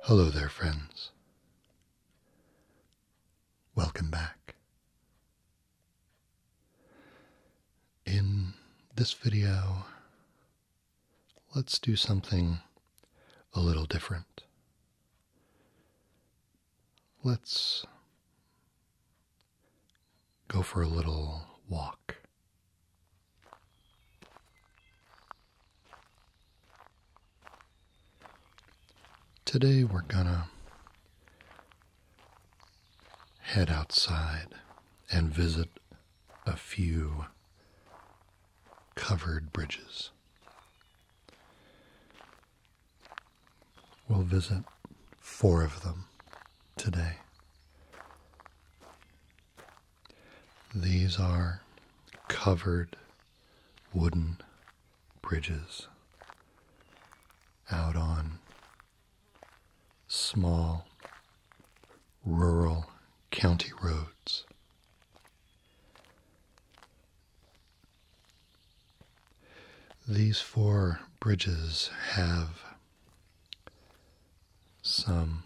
Hello there, friends. Welcome back. In this video, let's do something a little different. Let's go for a little walk. Today we're gonna head outside and visit a few covered bridges. We'll visit four of them today. These are covered wooden bridges out on small rural county roads. These four bridges have some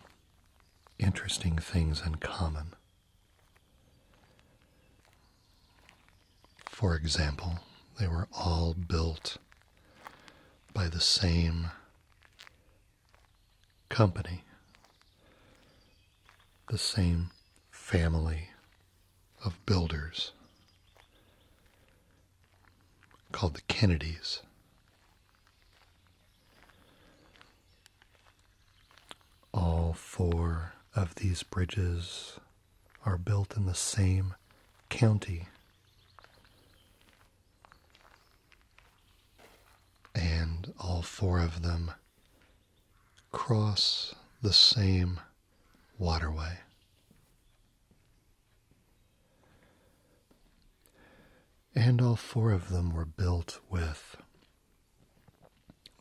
interesting things in common. For example, they were all built by the same company, the same family of builders called the Kennedys. All four of these bridges are built in the same county. And all four of them cross the same waterway. And all four of them were built with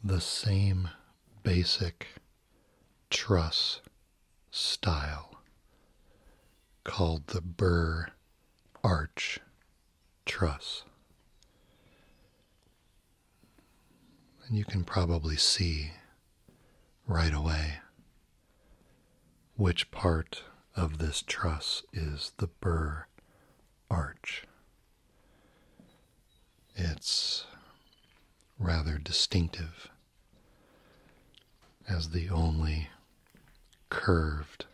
the same basic truss style called the Burr Arch truss. And you can probably see right away which part of this truss is the burr arch. It's rather distinctive as the only curved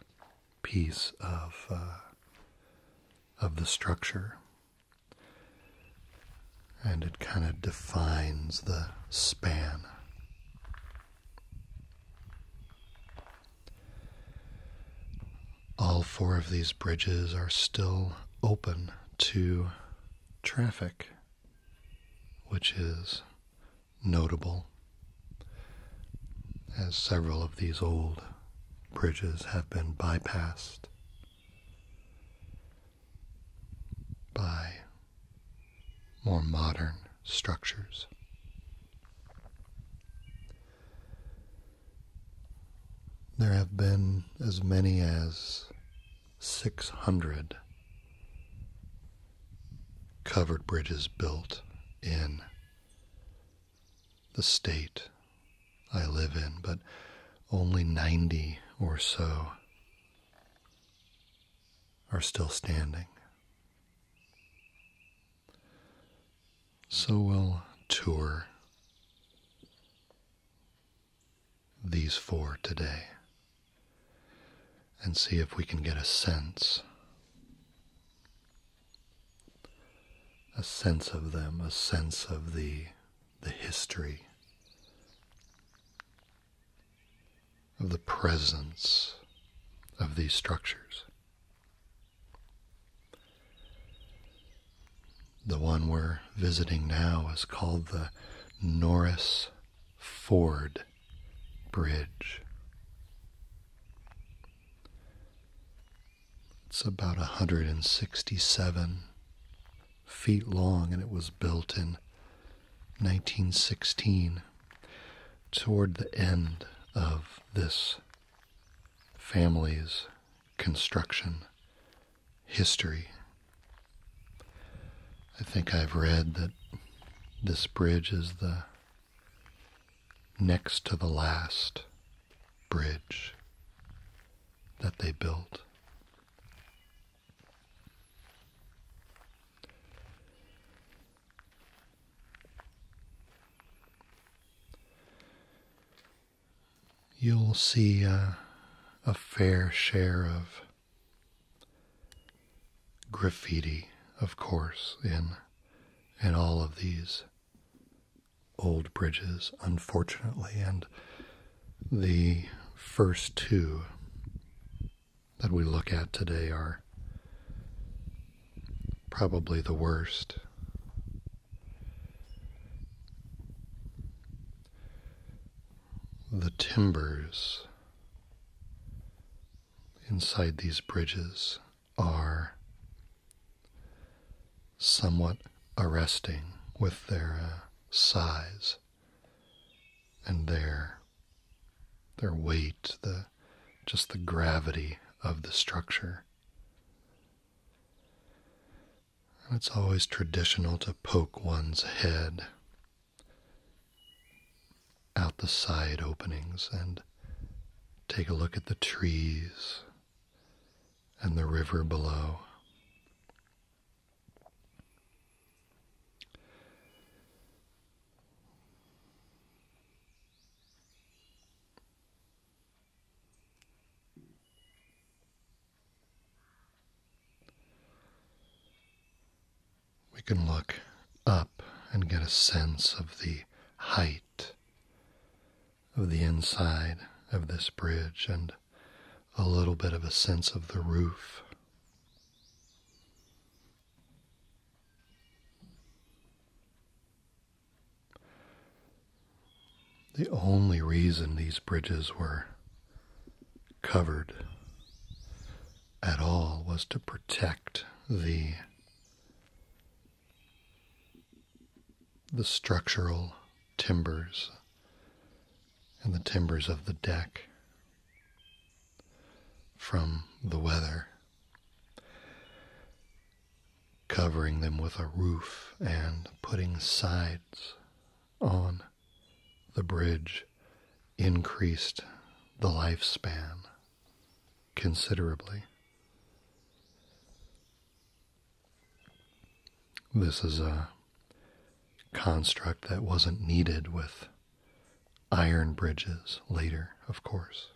piece of uh, of the structure, and it kind of defines the span. All four of these bridges are still open to traffic, which is notable, as several of these old bridges have been bypassed by more modern structures. There have been as many as 600 covered bridges built in the state I live in, but only 90 or so are still standing. So we'll tour these four today and see if we can get a sense a sense of them, a sense of the, the history, of the presence of these structures. The one we're visiting now is called the Norris Ford Bridge. It's about 167 feet long, and it was built in 1916 toward the end of this family's construction history. I think I've read that this bridge is the next to the last bridge that they built. You'll see a, fair share of graffiti, of course, in in all of these old bridges, unfortunately, and the first two that we look at today are probably the worst. The timbers inside these bridges are somewhat arresting with their uh, size and their their weight, the just the gravity of the structure. it's always traditional to poke one's head out the side openings and take a look at the trees and the river below. We can look up and get a sense of the height of the inside of this bridge and a little bit of a sense of the roof. The only reason these bridges were covered at all was to protect the the structural timbers and the timbers of the deck from the weather, covering them with a roof and putting sides on the bridge increased the lifespan considerably. This is a construct that wasn't needed with iron bridges later, of course.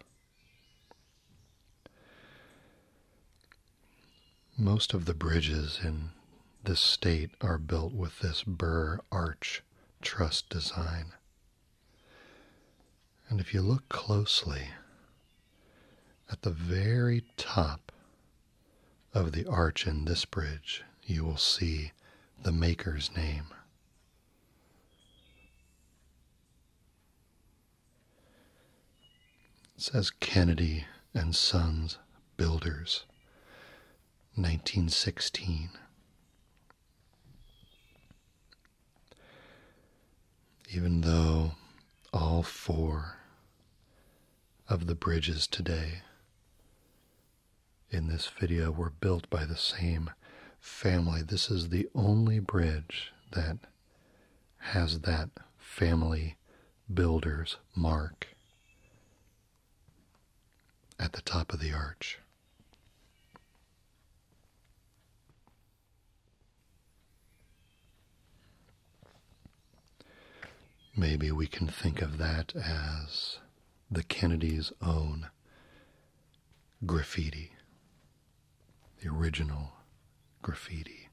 Most of the bridges in this state are built with this burr arch truss design. And if you look closely at the very top of the arch in this bridge, you will see the maker's name. It says Kennedy and Sons Builders, 1916. Even though all four of the bridges today in this video were built by the same family, this is the only bridge that has that family builder's mark at the top of the arch. Maybe we can think of that as the Kennedys' own graffiti, the original graffiti.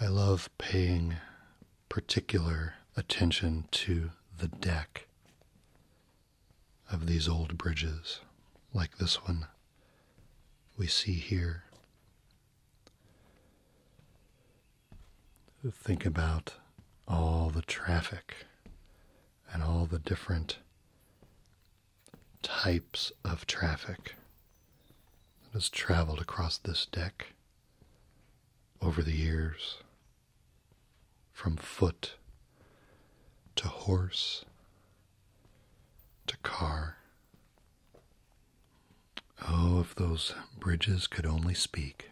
I love paying particular attention to the deck of these old bridges, like this one we see here. Think about all the traffic and all the different types of traffic that has traveled across this deck over the years from foot to horse to car. Oh, if those bridges could only speak.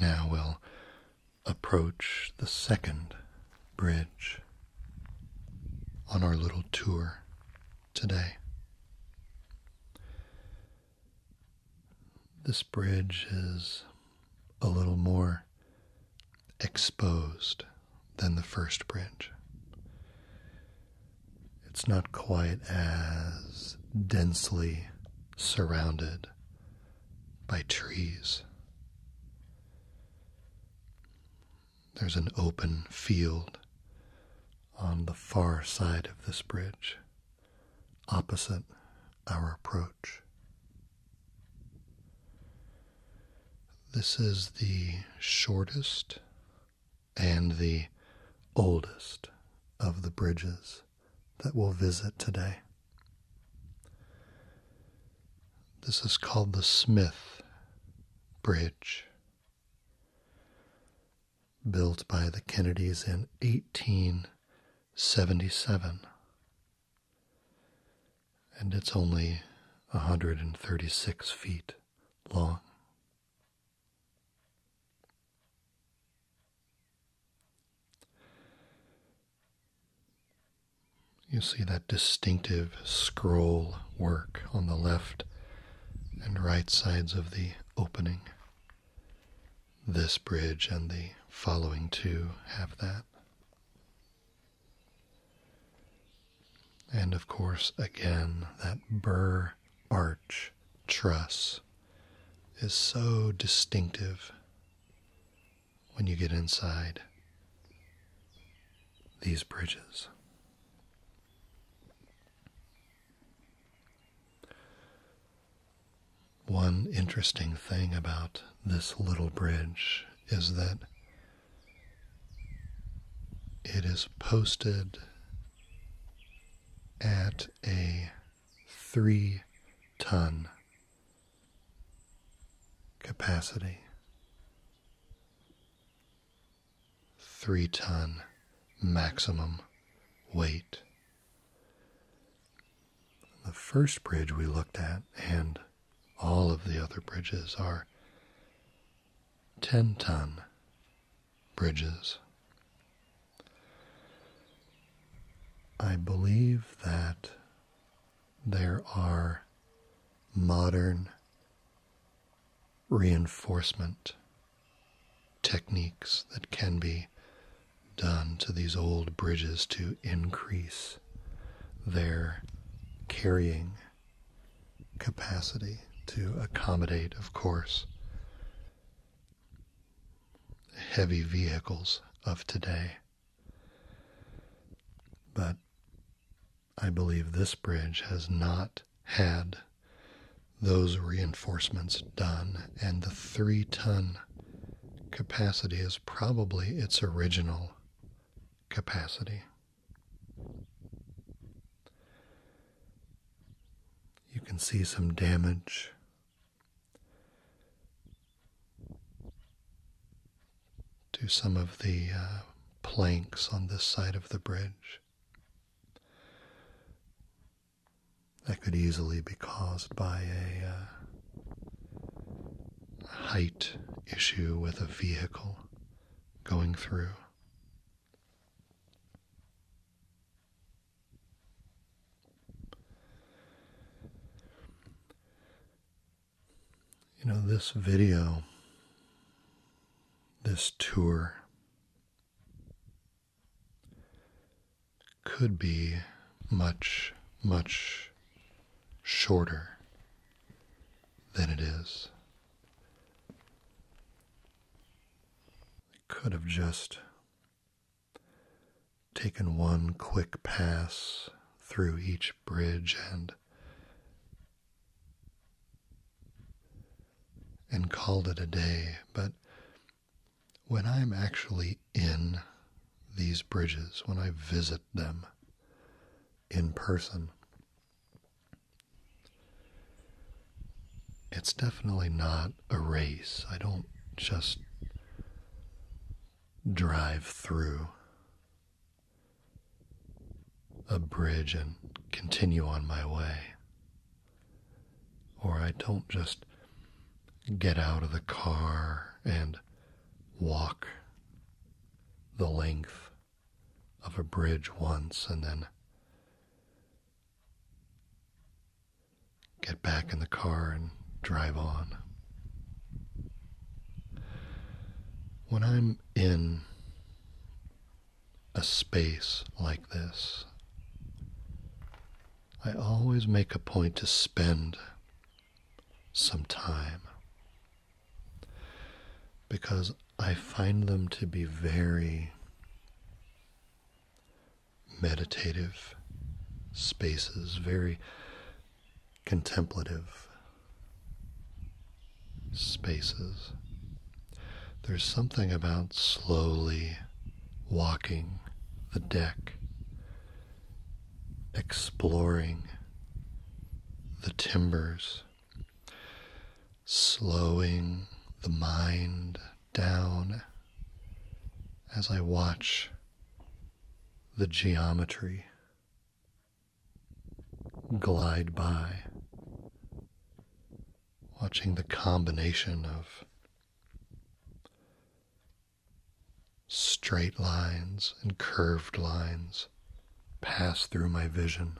Now we'll approach the second bridge on our little tour today. This bridge is a little more exposed than the first bridge. It's not quite as densely surrounded by trees. There's an open field on the far side of this bridge, opposite our approach. This is the shortest and the oldest of the bridges that we'll visit today. This is called the Smith Bridge, built by the Kennedys in 1877, and it's only 136 feet long. You see that distinctive scroll work on the left and right sides of the opening. This bridge and the following two have that. And of course, again, that burr arch truss is so distinctive when you get inside these bridges. One interesting thing about this little bridge is that it is posted at a three ton capacity. Three ton maximum weight. The first bridge we looked at, and all of the other bridges, are 10 ton bridges. I believe that there are modern reinforcement techniques that can be done to these old bridges to increase their carrying capacity to accommodate, of course, heavy vehicles of today. But I believe this bridge has not had those reinforcements done, and the three ton capacity is probably its original capacity. You can see some damage do some of the uh, planks on this side of the bridge. That could easily be caused by a, uh, height issue with a vehicle going through. You know, this video, this tour, could be much, much shorter than it is. It could have just taken one quick pass through each bridge and and called it a day, but when I'm actually in these bridges, when I visit them in person, it's definitely not don't I don't just drive through a bridge and continue on my way. Or I don't just get out of the car and walk the length of a bridge once and then get back in the car and drive on. When I'm in a space like this, I always make a point to spend some time because I find them to be very meditative spaces, very contemplative spaces. There's something about slowly walking the deck, exploring the timbers, slowing the mind down as I watch the geometry glide by, watching the combination of straight lines and curved lines pass through my vision.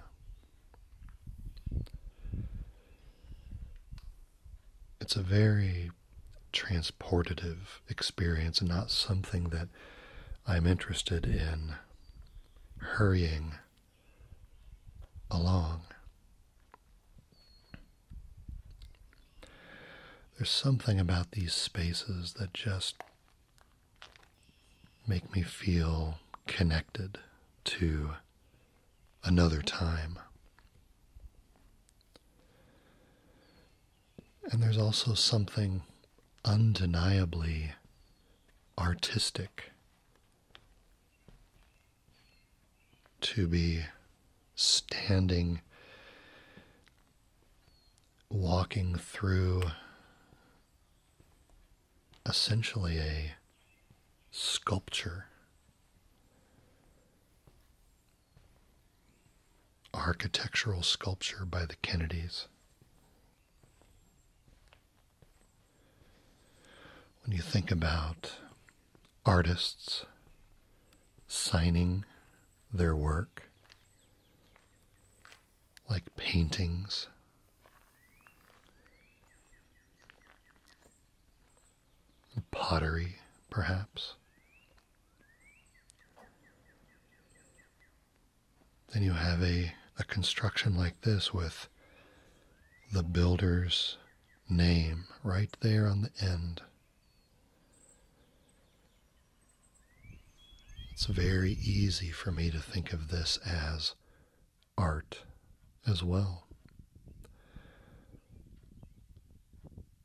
It's a very transportative experience and not something that I'm interested in hurrying along. There's something about these spaces that just make me feel connected to another time. And there's also something undeniably artistic to be standing, walking through essentially a sculpture Architectural sculpture by the Kennedys. When you think about artists signing their work, like paintings, pottery, perhaps. Then you have a, a construction like this with the builder's name right there on the end. It's very easy for me to think of this as art as well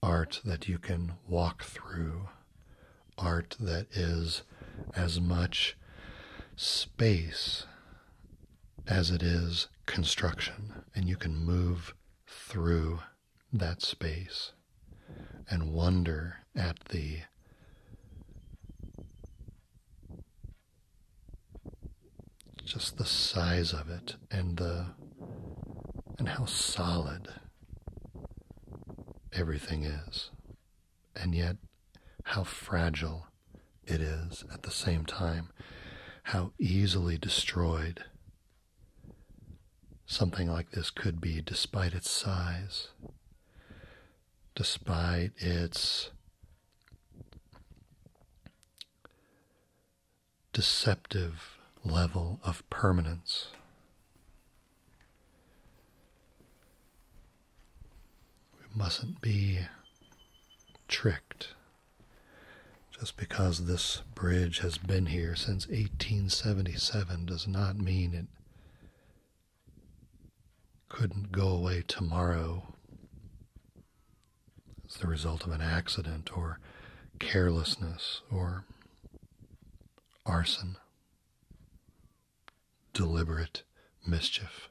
art that you can walk through, art that is as much space as it is construction, and you can move through that space and wonder at the just the size of it and the and how solid everything is and yet how fragile it is at the same time how easily destroyed something like this could be despite its size despite its deceptive level of permanence. We mustn't be tricked just because this bridge has been here since 1877 does not mean it couldn't go away tomorrow it's the result of an accident or carelessness or arson, deliberate mischief.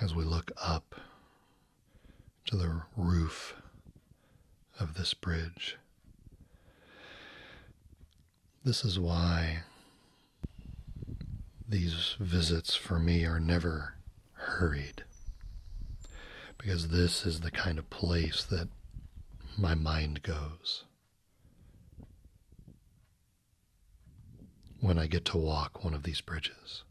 As we look up to the roof of this bridge, this is why these visits for me are never hurried, because this is the kind of place that my mind goes. When I get to walk one of these bridges.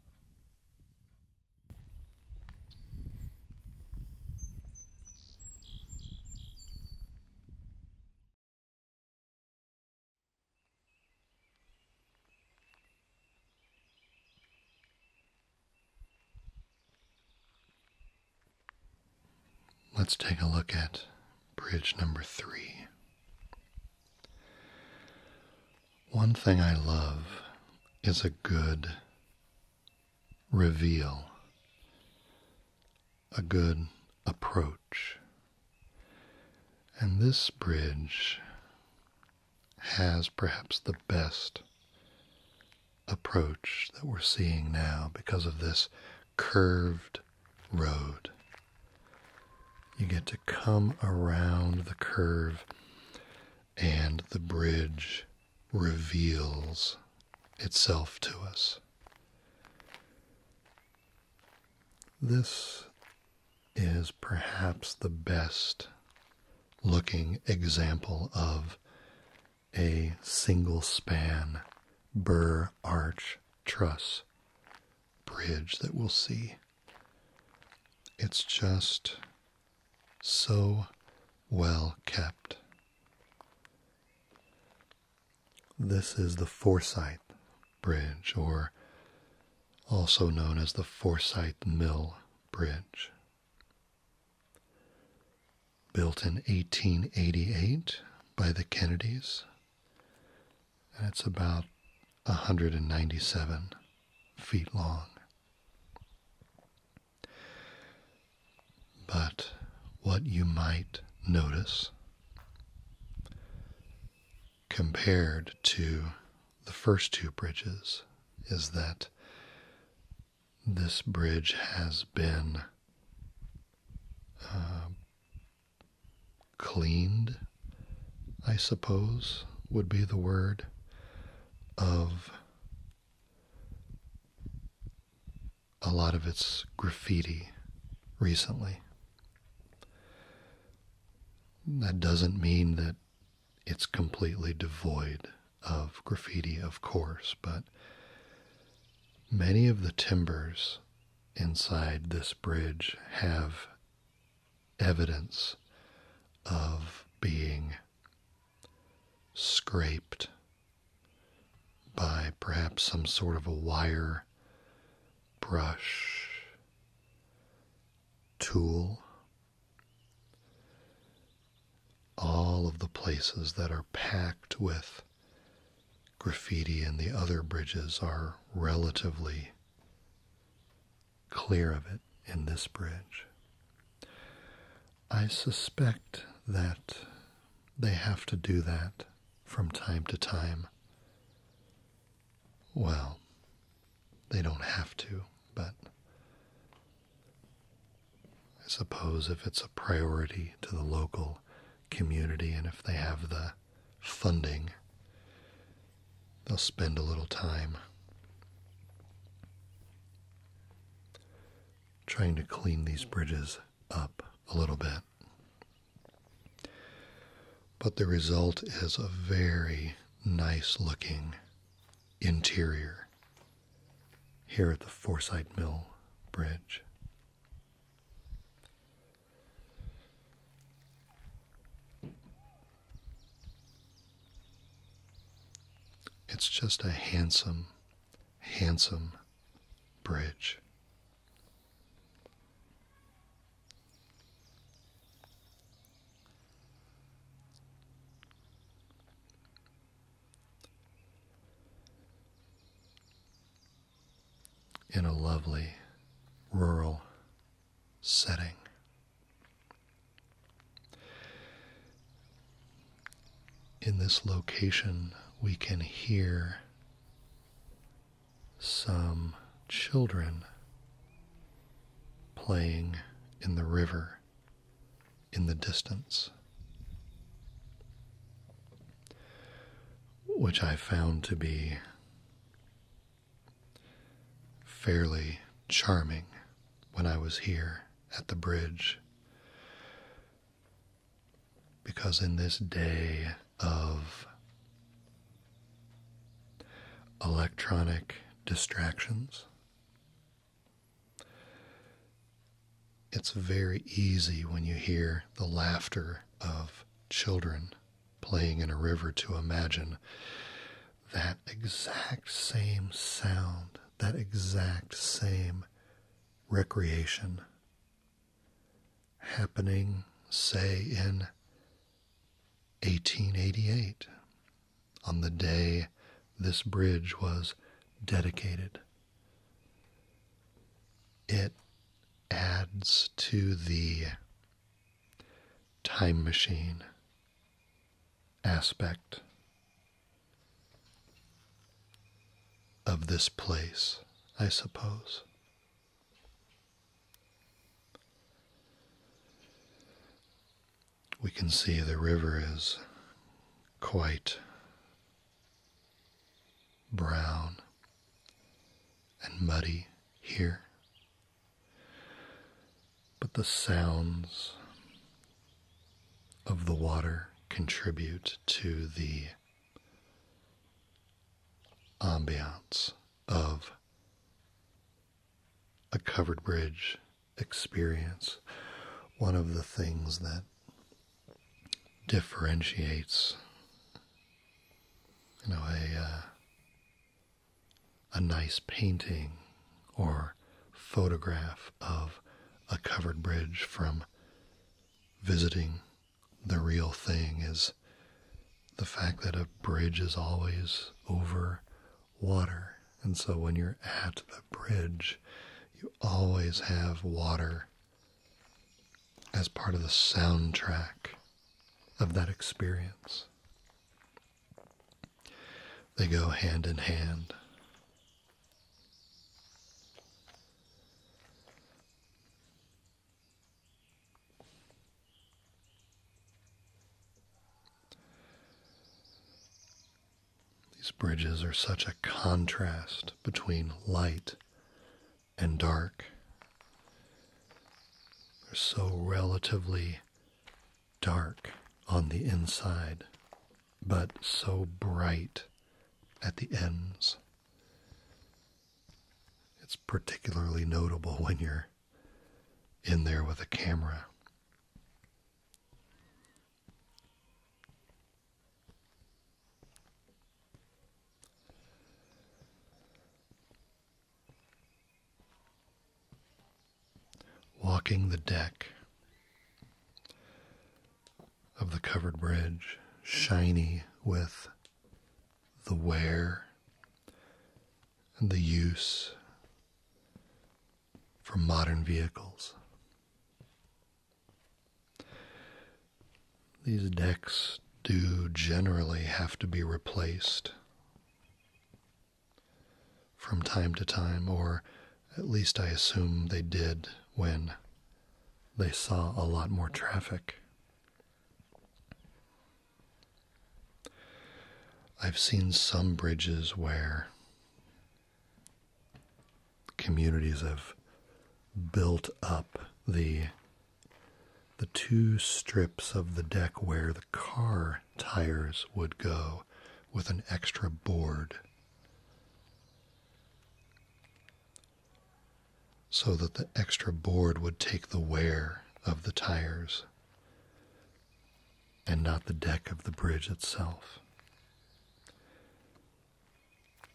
Let's take a look at bridge number three. One thing I love is a good reveal a good approach. And this bridge has perhaps the best approach that we're seeing now because of this curved road. You get to come around the curve, and the bridge reveals itself to us. This is perhaps the best looking example of a single span burr arch truss bridge that we'll see. It's just so well kept. This is the Forsyth Bridge, or also known as the Forsyth Mill Bridge. Built in 1888 by the Kennedys, and it's about 197 feet long. But what you might notice compared to the first two bridges is that this bridge has been uh, cleaned, I suppose would be the word, of a lot of its graffiti recently. That doesn't mean that it's completely devoid of graffiti, of course, but many of the timbers inside this bridge have evidence of being scraped by perhaps some sort of a wire brush, tool, all of the places that are packed with graffiti and the other bridges are relatively clear of it in this bridge. I suspect that they have to do that from time to time. Well, they don't have to, but I suppose if it's a priority to the local community and if they have the funding, they'll spend a little time trying to clean these bridges up a little bit. But the result is a very nice looking interior here at the Forsyth Mill Bridge. It's just a handsome, handsome bridge in a lovely rural setting. In this location, we can hear some children playing in the river in the distance, which I found to be fairly charming when I was here at the bridge. Because in this day of electronic distractions, it's very easy when you hear the laughter of children playing in a river to imagine that exact same sound, that exact same recreation happening, say, in 1888, on the day this bridge was dedicated. It adds to the time machine aspect of this place, I suppose. We can see the river is quite brown and muddy here, but the sounds of the water contribute to the ambiance of a covered bridge experience. One of the things that differentiates, you know, a uh, a nice painting or photograph of a covered bridge from visiting the real thing is the fact that a bridge is always over water. And so when you're at the bridge, you always have water as part of the soundtrack of that experience. They go hand in hand. These bridges are such a contrast between light and dark. They're so relatively dark on the inside, but so bright at the ends. It's particularly notable when you're in there with a camera. Walking the deck of the covered bridge, shiny with the wear and the use for modern vehicles. These decks do generally have to be replaced from time to time, or at least I assume they did when they saw a lot more traffic. I've seen some bridges where communities have built up the the two strips of the deck where the car tires would go with an extra board so that the extra board would take the wear of the tires and not the deck of the bridge itself.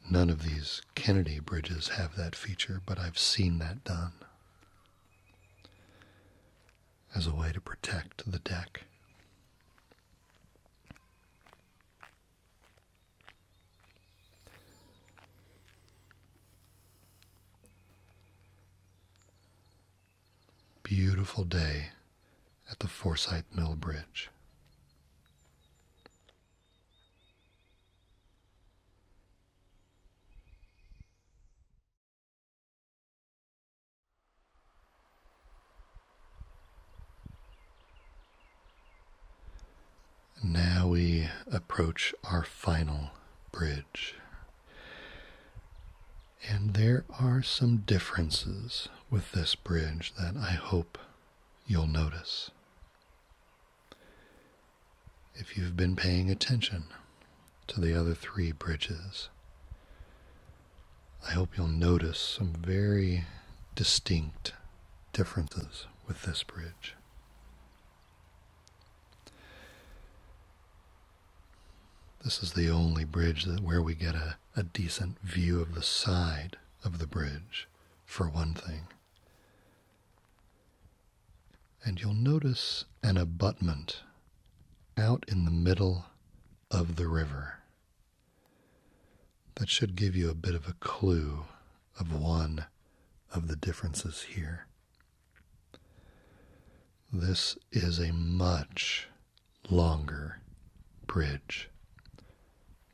None of these Kennedy bridges have that feature, but I've seen that done as a way to protect the deck. Beautiful day at the Forsyth Mill Bridge. Now we approach our final bridge. And there are some differences with this bridge that I hope you'll notice. If you've been paying attention to the other three bridges, I hope you'll notice some very distinct differences with this bridge. This is the only bridge where we get a decent view of the side of the bridge, for one thing. And you'll notice an abutment out in the middle of the river. That should give you a bit of a clue of one of the differences here. This is a much longer bridge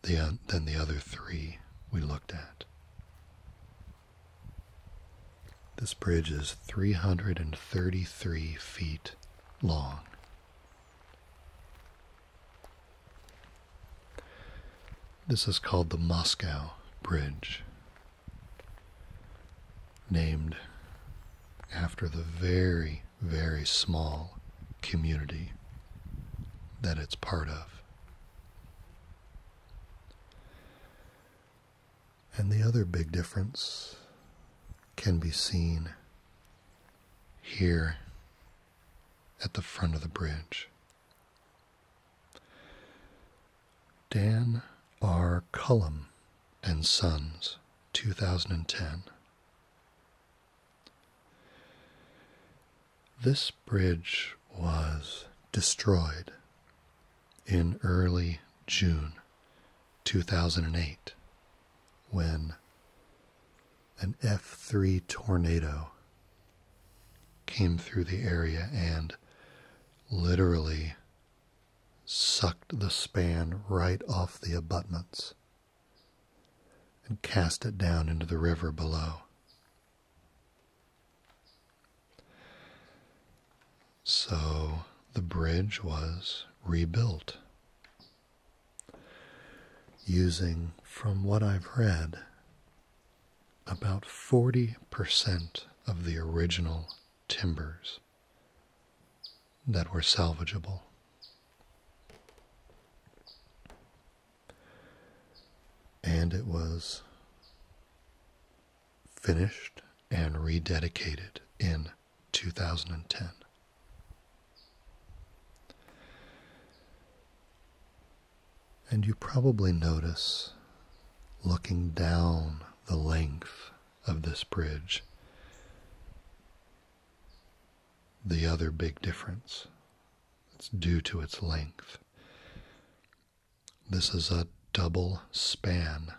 than the other three we looked at. This bridge is 333 feet long. This is called the Moscow Bridge, named after the very, very small community that it's part of. And the other big difference can be seen here at the front of the bridge. Dan R. Cullum and Sons, 2010. This bridge was destroyed in early June 2008 when an F 3 tornado came through the area and literally sucked the span right off the abutments and cast it down into the river below. So the bridge was rebuilt using, from what I've read, about 40% of the original timbers that were salvageable. And it was finished and rededicated in 2010. And you probably notice looking down the length of this bridge the other big difference. It's due to its length. This is a double span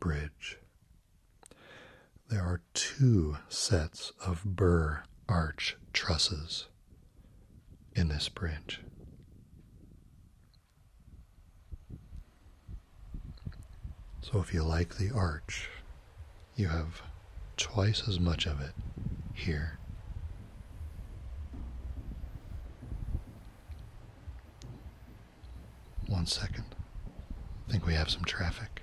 bridge. There are two sets of burr arch trusses in this bridge. So, if you like the arch, you have twice as much of it here. One second. think we have some traffic.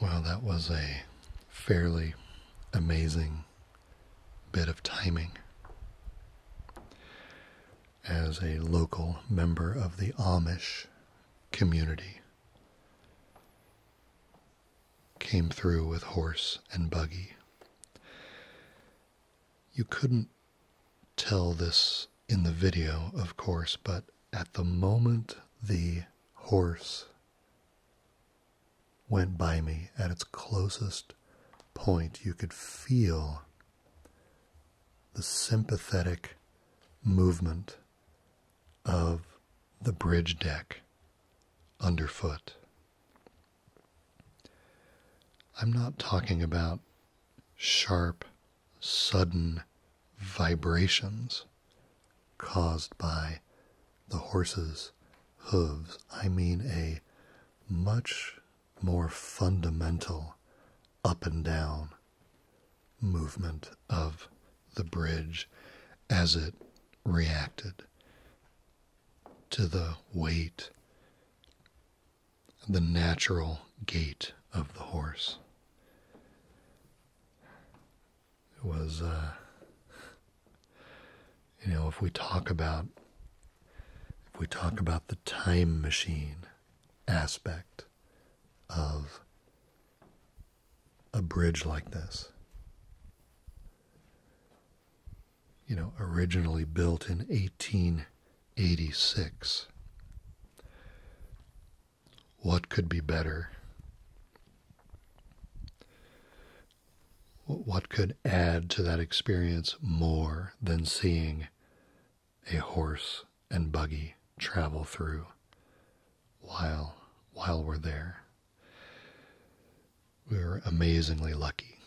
Wow, that was a fairly amazing bit of timing. As a local member of the Amish community, came through with horse and buggy. You couldn't tell this in the video, of course, but at the moment the horse went by me at its closest point, you could feel the sympathetic movement of the bridge deck underfoot. I'm not talking about sharp, sudden vibrations caused by the horse's hooves. I mean, a much more fundamental up and down movement of the bridge as it reacted to the weight the natural gait of the horse. It was, uh, you know, if we talk about if we talk about the time machine aspect of a bridge like this, you know, originally built in 18 86. What could be better? What could add to that experience more than seeing a horse and buggy travel through while while we're there? We are amazingly lucky.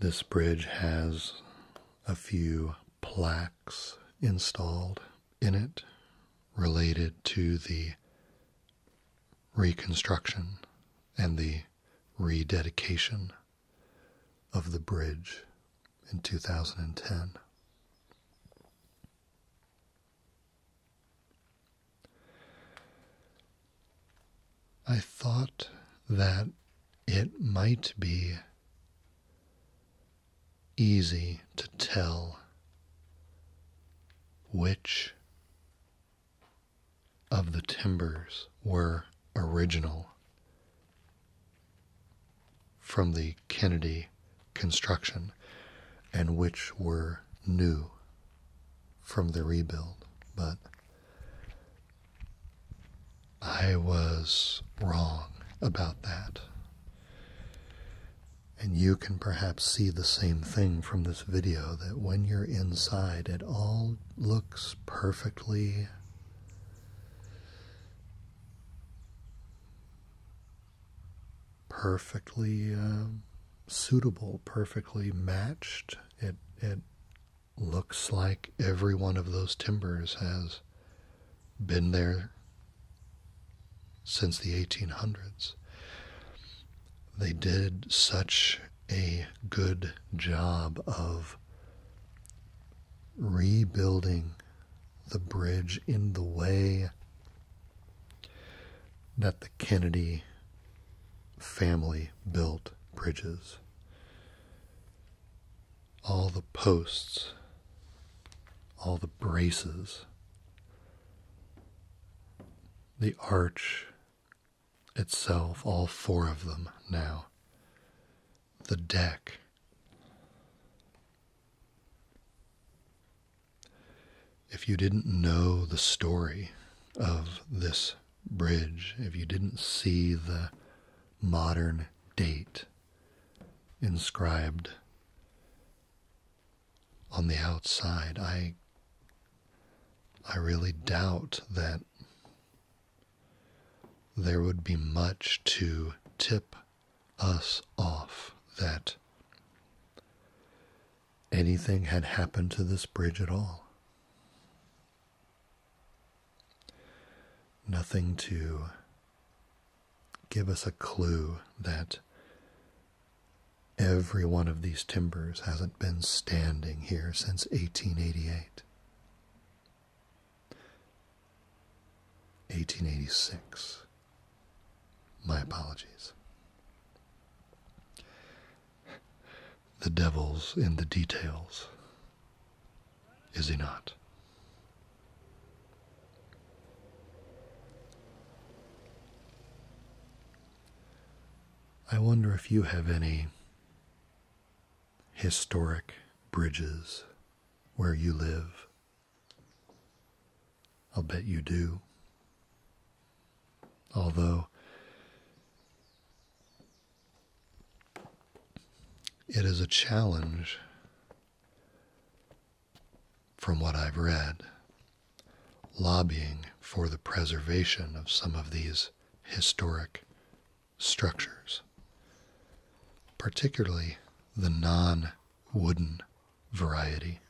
This bridge has a few plaques installed in it related to the reconstruction and the rededication of the bridge in 2010. I thought that it might be easy to tell which of the timbers were original from the Kennedy construction and which were new from the rebuild, but I was wrong about that. And you can perhaps see the same thing from this video that when you're inside, it all looks perfectly perfectly um, suitable, perfectly matched. It it looks like every one of those timbers has been there since the 1800s. They did such a good job of rebuilding the bridge in the way that the Kennedy family built bridges. All the posts, all the braces, the arch itself, all four of them now, the deck. If you didn't know the story of this bridge, if you didn't see the modern date inscribed on the outside, I I really doubt that there would be much to tip us off that anything had happened to this bridge at all. Nothing to give us a clue that every one of these timbers hasn't been standing here since 1888. 1886, my apologies. The devil's in the details, is he not? I wonder if you have any historic bridges where you live I'll bet you do. Although it is a challenge, from what I've read, lobbying for the preservation of some of these historic structures, particularly the non wooden variety.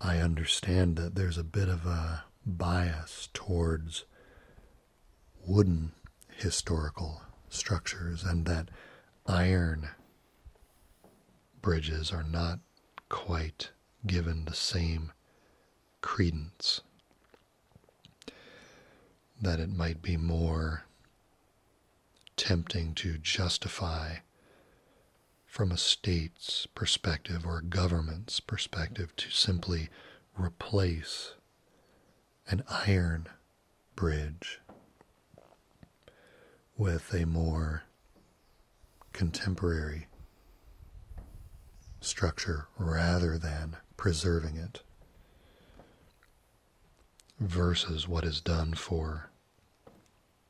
I understand that there's a bit of a bias towards wooden historical structures and that iron bridges are not quite given the same credence. That it might be more tempting to justify from a state's perspective or government's perspective to simply replace an iron bridge with a more contemporary structure rather than preserving it versus what is done for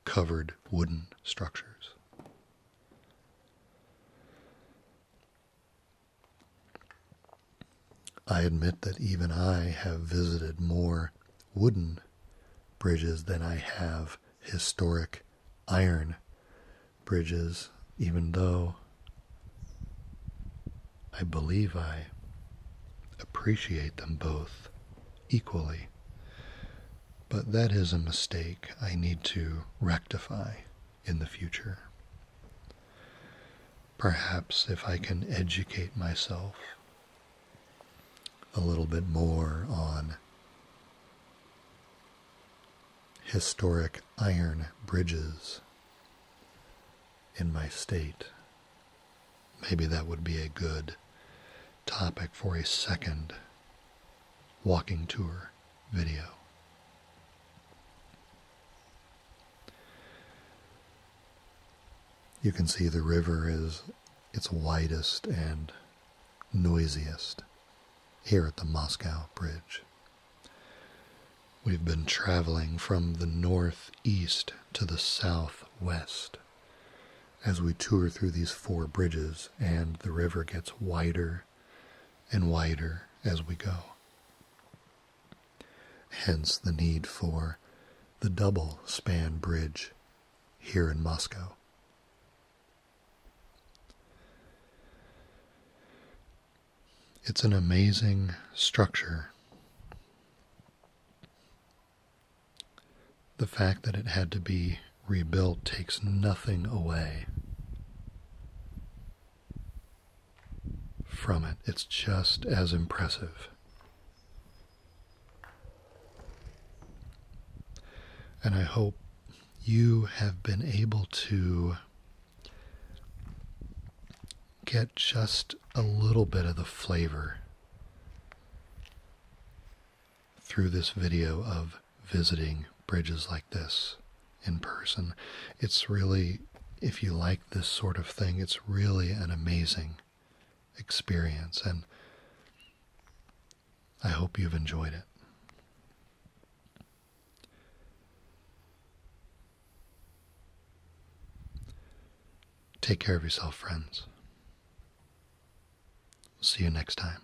covered wooden structures. I admit that even I have visited more wooden bridges than I have historic iron bridges, even though I believe I appreciate them both equally. But that is a mistake I need to rectify in the future. Perhaps if I can educate myself a little bit more on historic iron bridges in my state. Maybe that would be a good topic for a second walking tour video. You can see the river is its widest and noisiest here at the Moscow Bridge. We've been traveling from the northeast to the south southwest as we tour through these four bridges, and the river gets wider and wider as we go. Hence the need for the double span bridge here in Moscow. It's an amazing structure. The fact that it had to be rebuilt takes nothing away from it. It's just as impressive. And I hope you have been able to get just a little bit of the flavor through this video of visiting bridges like this in person. It's really, if you like this sort of thing, it's really an amazing experience, and I hope you've enjoyed it. Take care of yourself, friends. See you next time.